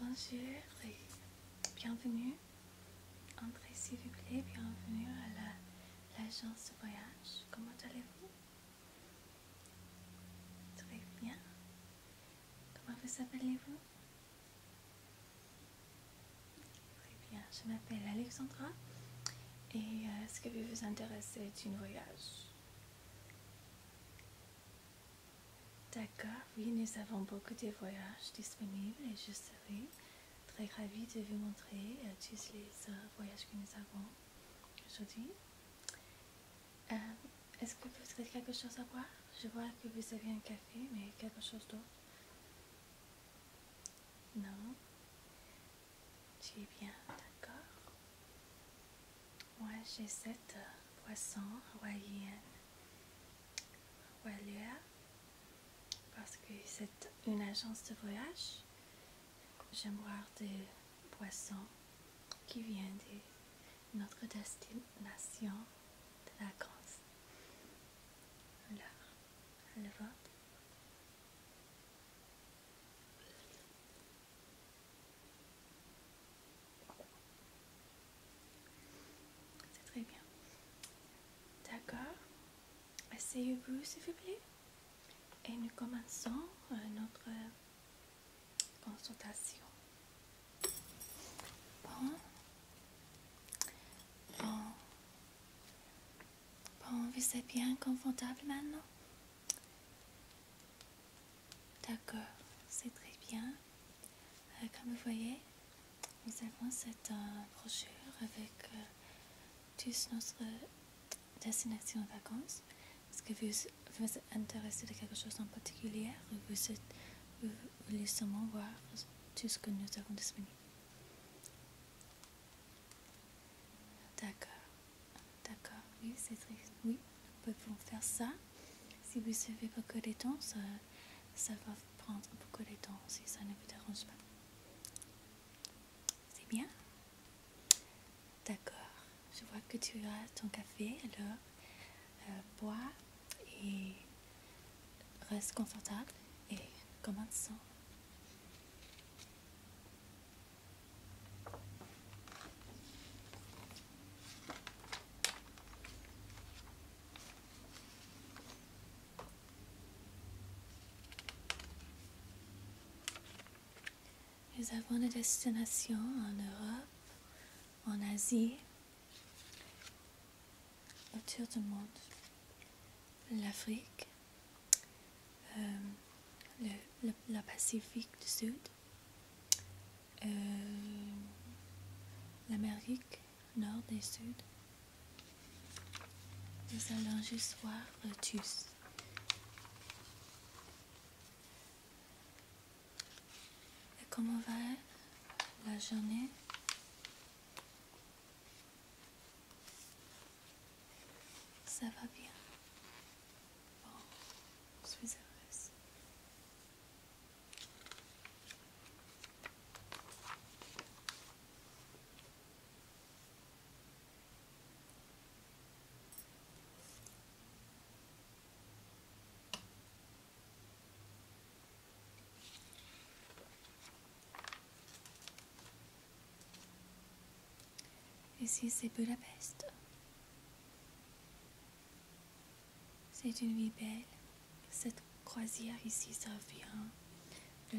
Bonjour et bienvenue. Entrez s'il vous plaît, bienvenue à l'agence de voyage. Comment allez-vous Très bien. Comment vous appelez-vous Très bien, je m'appelle Alexandra. Et euh, est ce que vous vous intéressez une voyage D'accord, oui, nous avons beaucoup de voyages disponibles et je serai très ravie de vous montrer euh, tous les euh, voyages que nous avons aujourd'hui. Est-ce que vous avez quelque chose à boire Je vois que vous avez un café, mais quelque chose d'autre Non Tu es bien, d'accord Moi, j'ai cette euh, poissons hawaïenne parce que c'est une agence de voyage J'aime boire des poissons qui viennent de notre destination de vacances. Alors, le vote. C'est très bien. D'accord. essayez vous s'il vous plaît. Et nous commençons euh, notre consultation. Bon. Bon. vous êtes bien confortable maintenant? D'accord, c'est très bien. Euh, comme vous voyez, nous avons cette euh, brochure avec euh, tous nos destination en vacances Est-ce que vous, vous intéressez intéressé de quelque chose en particulier ou vous, voulez seulement voir tout ce que nous avons disponible D'accord. D'accord. Oui, c'est triste. Oui, nous pouvons faire ça. Si vous savez beaucoup de temps, ça, ça va prendre beaucoup de temps si ça ne vous dérange pas. C'est bien D'accord. Je vois que tu as ton café, alors euh, bois et reste confortable et commençons. Nous avons des destinations en Europe, en Asie, autour du monde. L'Afrique, euh, le, Pacifique du Sud, euh, l'Amérique Nord et Sud. Nous allons juste voir tous. Et comment va la journée Ça va bien. Bon, je suis heureuse. Ici, c'est Budapest. C'est une vie belle. Cette croisière ici, ça vient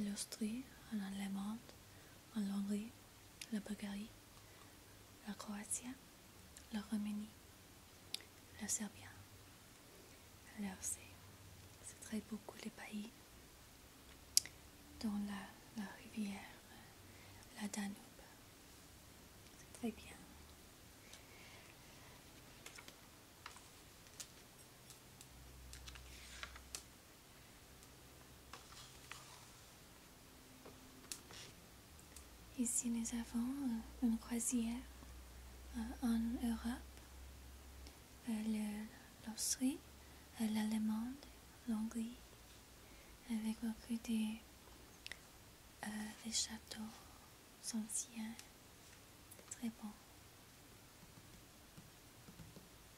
de l'Austrie, en Allemagne, en Hongrie la Bulgarie, la Croatie, la Roumanie, la Serbie, l'RC. C'est très beaucoup les pays dont la, la rivière, euh, la Danube. C'est très bien. Ici, nous avons euh, une croisière euh, en Europe. Euh, l'Austrie, l'Allemagne, l'Allemande, l'Hongrie, avec beaucoup de des châteaux anciens. Très bon.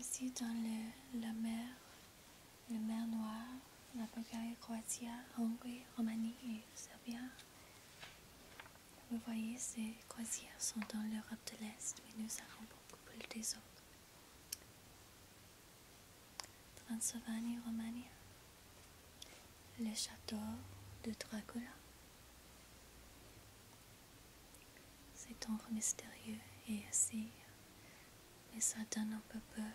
Aussi dans la mer, la mer Noire, la Bulgarie, Croatie, Hongrie, Roumanie et Serbie. Vous voyez, ces croisières sont dans l'Europe de l'Est, mais nous avons beaucoup plus des autres. Transylvanie, Romania, le château de Dracula. C'est donc mystérieux et assis, mais ça donne un peu peur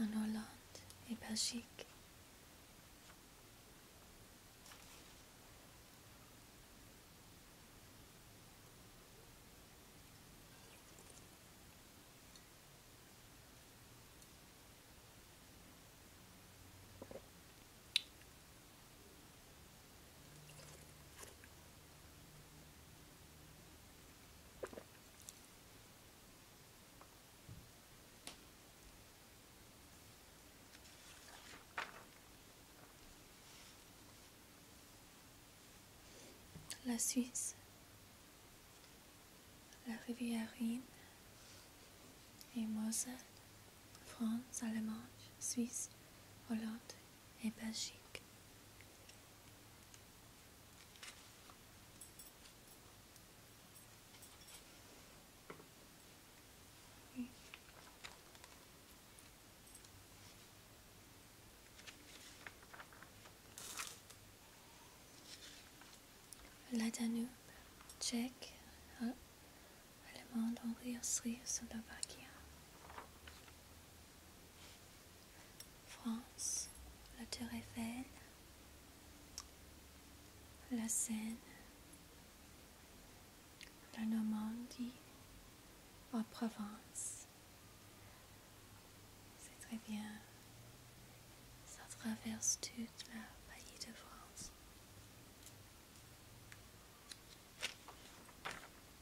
en Hollande et Belgique. La Suisse, la Rivière Rhine et Moselle, France, Allemagne, Suisse, Hollande et magique. La Danube, tchèque, hein, allemande, Hongrie, le Slovaquie. France, la Tour Eiffel, la Seine, la Normandie, en Provence. C'est très bien. Ça traverse toute la pays de France.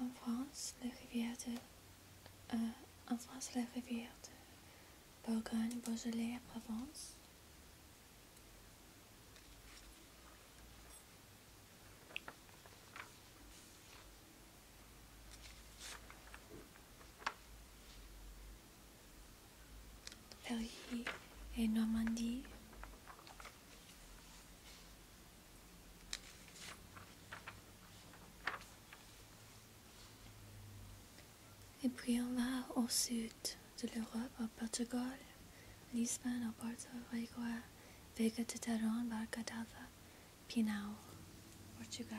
En France, la rivière de, France, la rivière Bourgogne, Beaujolais Provence Provence et Normandie et puis on va au sud de l'Europe, au Portugal, Lisbonne, au Porto Vigo, Vega de Taron, Barcadava, Pinhal, Portugal.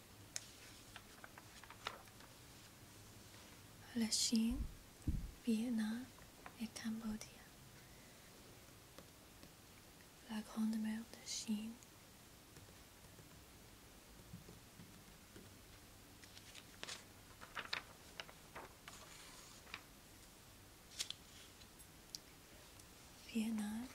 la Chine, Vietnam et Cambodge. La Grande Mer de Chine. Vietnam,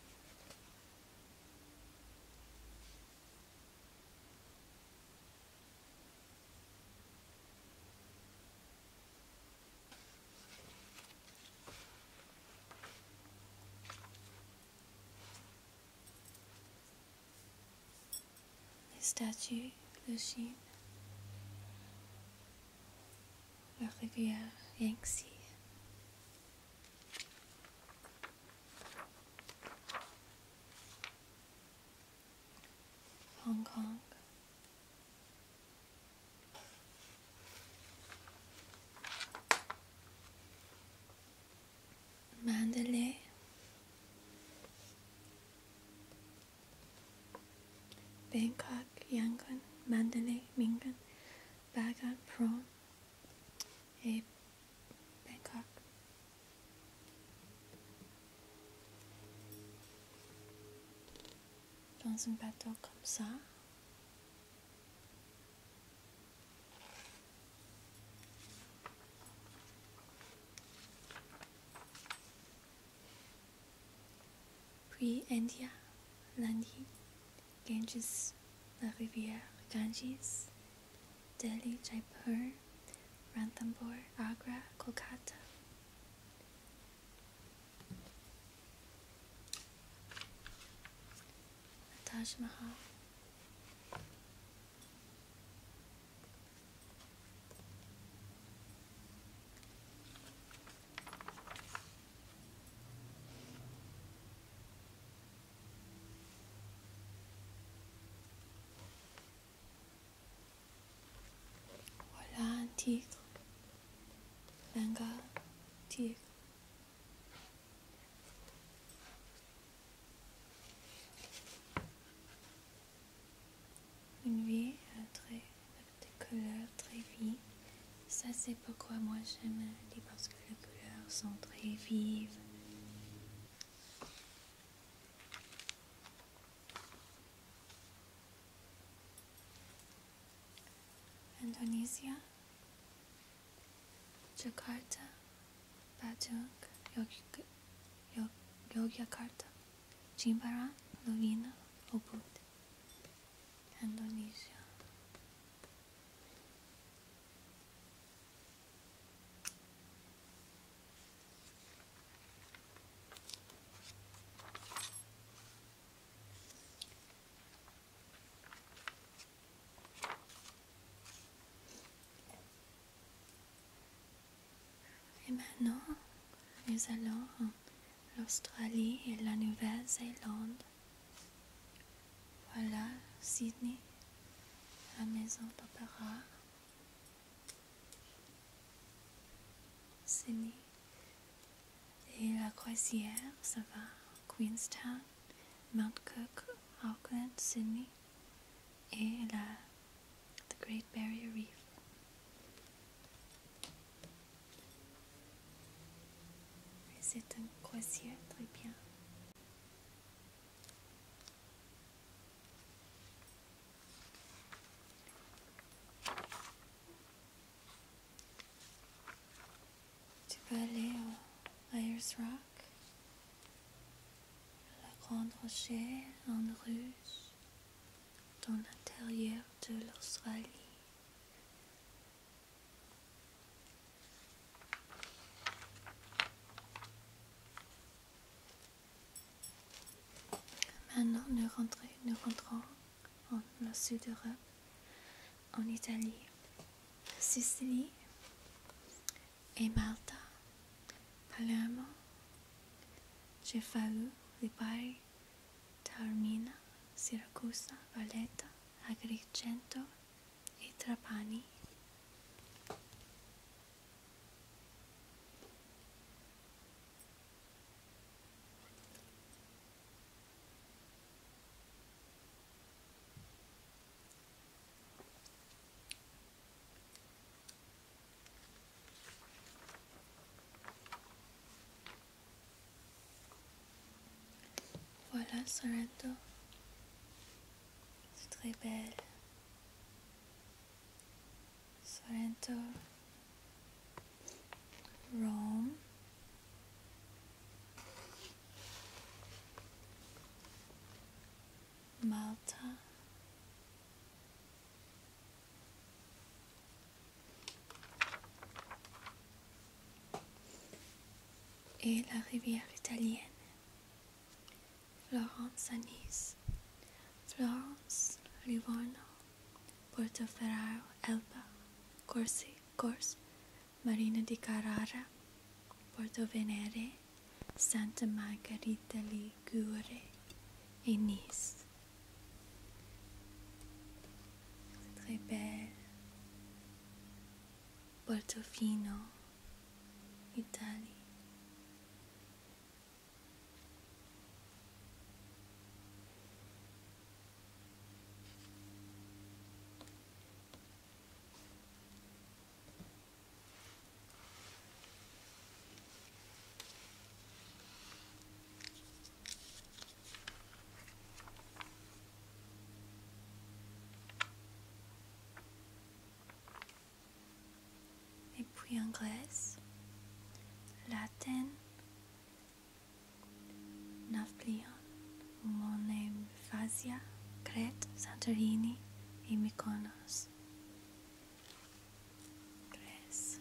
les statues, le Chine, la rivière Yangtze, Hong Kong. Mandalay, Bangkok, Yangon, Mandalay, Mingan, Bagan, Prawn, et Bangkok. Dans un bateau comme ça, puis India, lundi. Ganges, La Riviere, Ganges, Delhi, Jaipur, Ranthambore, Agra, Kolkata. Taj Mahal. Voilà un tigre. Benga, tigre. Une vie très, des couleurs très vie. Ça, c'est pourquoi moi j'aime parce que les couleurs sont très vives. Indonesia, Jakarta, Batung. Yogyakarta, Jimbaran, Lovina, Ubud. Indonesia. Et maintenant, nous allons l'Australie et la Nouvelle-Zélande. Voilà Sydney, la maison d'opéra. Sydney. Et la croisière, ça va. Queenstown, Mount Cook, Auckland, Sydney. Et la Great Barrier Reef c'est un croisière très bien. Tu peux aller au Ayers Rock, la Grande rocher en Russe, dans l'intérieur de l'Australie. Maintenant, nous, rentrons, en sud europe en Italie, Sicilie et Malta, Palermo, j'ai fallu Taormina, Siracusa, Valletta, Agrigento e Trapani. Voilà Sorrento, C'est très belle. Sorrento, Rome. Malta. et la rivière italienne. Florence à Nice, Florence, Livorno, Portoferraro, Elba, Corsi, Corse, Marina di Carrara, Porto Venere, Santa Margherita Ligure e Nice. C'est très belle. Portofino, Italie. Et puis anglaise, latin, Nafplion, Monemvasia, Crete, Santorini et Mykonos. Grèce.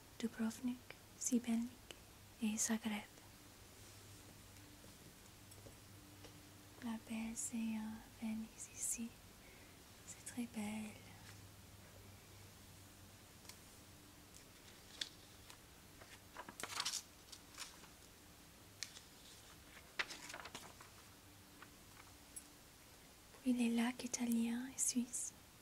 Dubrovnik, Sibelnik et Zagreb. La belle à Venise ici, c'est très belle. Puis les lacs italiens et suisses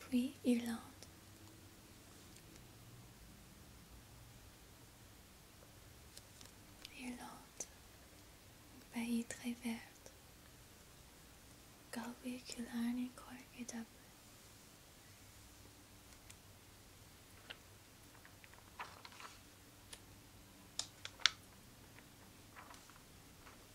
puis Irlande. Irlande, un pays très vert. Galway, Killarney, et Dublin.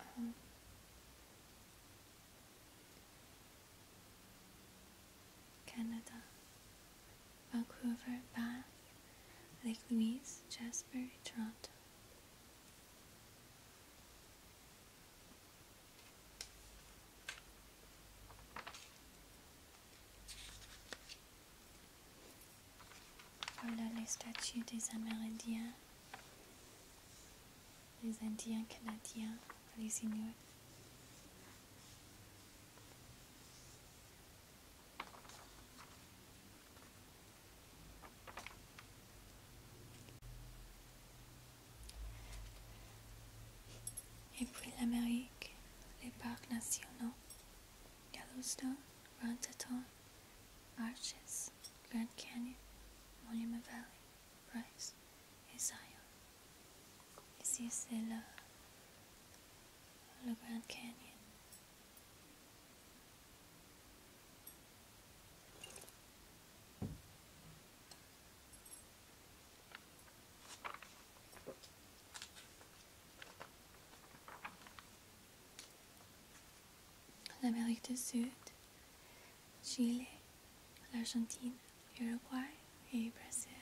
um, Canada, Vancouver, Bath, Lake Louise, Jasper, Toronto. Voilà les statues des Amérindiens les Indiens canadiens, les Inuits. Et puis l'Amérique, les parcs nationaux, Yellowstone, Teton, Arches. Grand Canyon, Monument Valley, Bryce, et Zion. Ici, c'est le, le Grand Canyon l'Amérique du Sud, Chile, Argentina, Uruguay, et Brésil.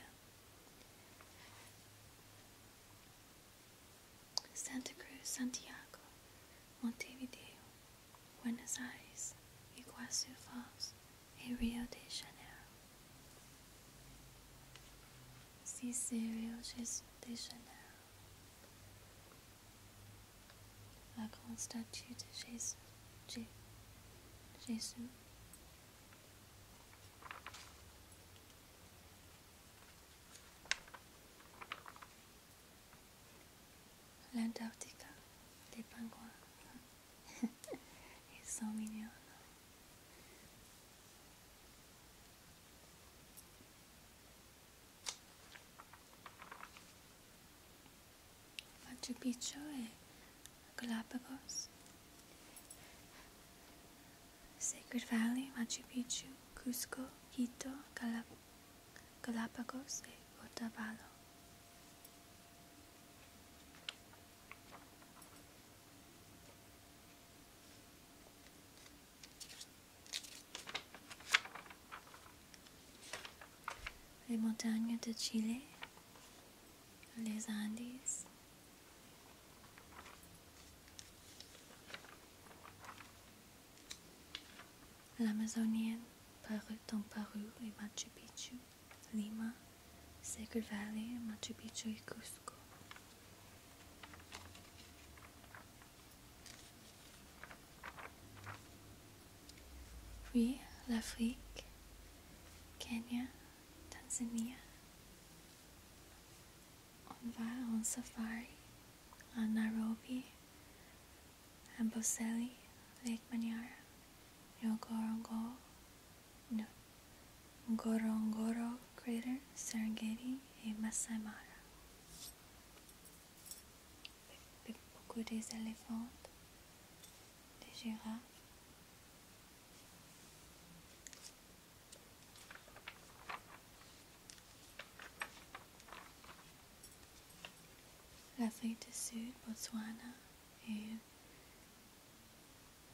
Santa Cruz, Santiago, Montevideo, Buenos Aires, Iguazu Falls et Rio de Janeiro. Si c'est Rio de Janeiro, La grande statue de Jésus. Jésus. Jésus. L'Antarctica, les pingouins. Ils sont mignons. Machu Picchu Galapagos. Sacred Valley, Machu Picchu, Cusco, Quito, Galap Galapagos e Otavalo. Les montagnes de Chile, les Andes. L'Amazonienne, Paru, dans et Machu Picchu, Lima, Sacred Valley, Machu Picchu et Cusco. We Oui, Lake Kenya, Tanzania. On va safari in Nairobi, Amboseli, Lake Manyara, Ngorongoro, no, Ngorongoro Crater, Serengeti, and Masai Mara. beaucoup des éléphants, des girafes. L'Afrique du Sud, Botswana et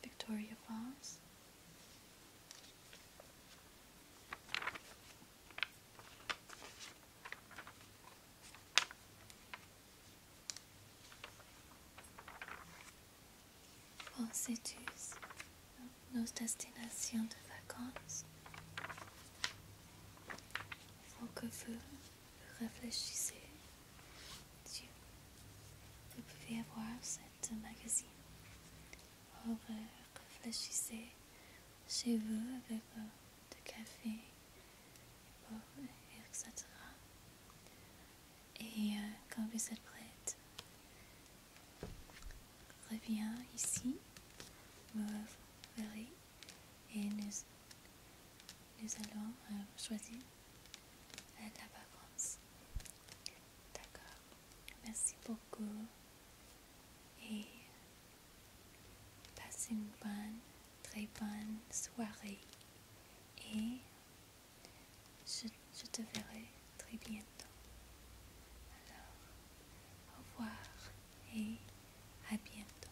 Victoria Falls. Pensez sais nos destinations de vacances Il faut que vous réfléchissez. vous pouvez avoir cette magazine. Euh, réfléchissez chez vous avec euh, du café, et, etc. Et euh, quand vous êtes prête, reviens ici, vous verrez, et nous, allons euh, choisir la vacance. D'accord. Merci beaucoup et passez une bonne, très bonne soirée et je te verrai très bientôt. Alors, au revoir et à bientôt.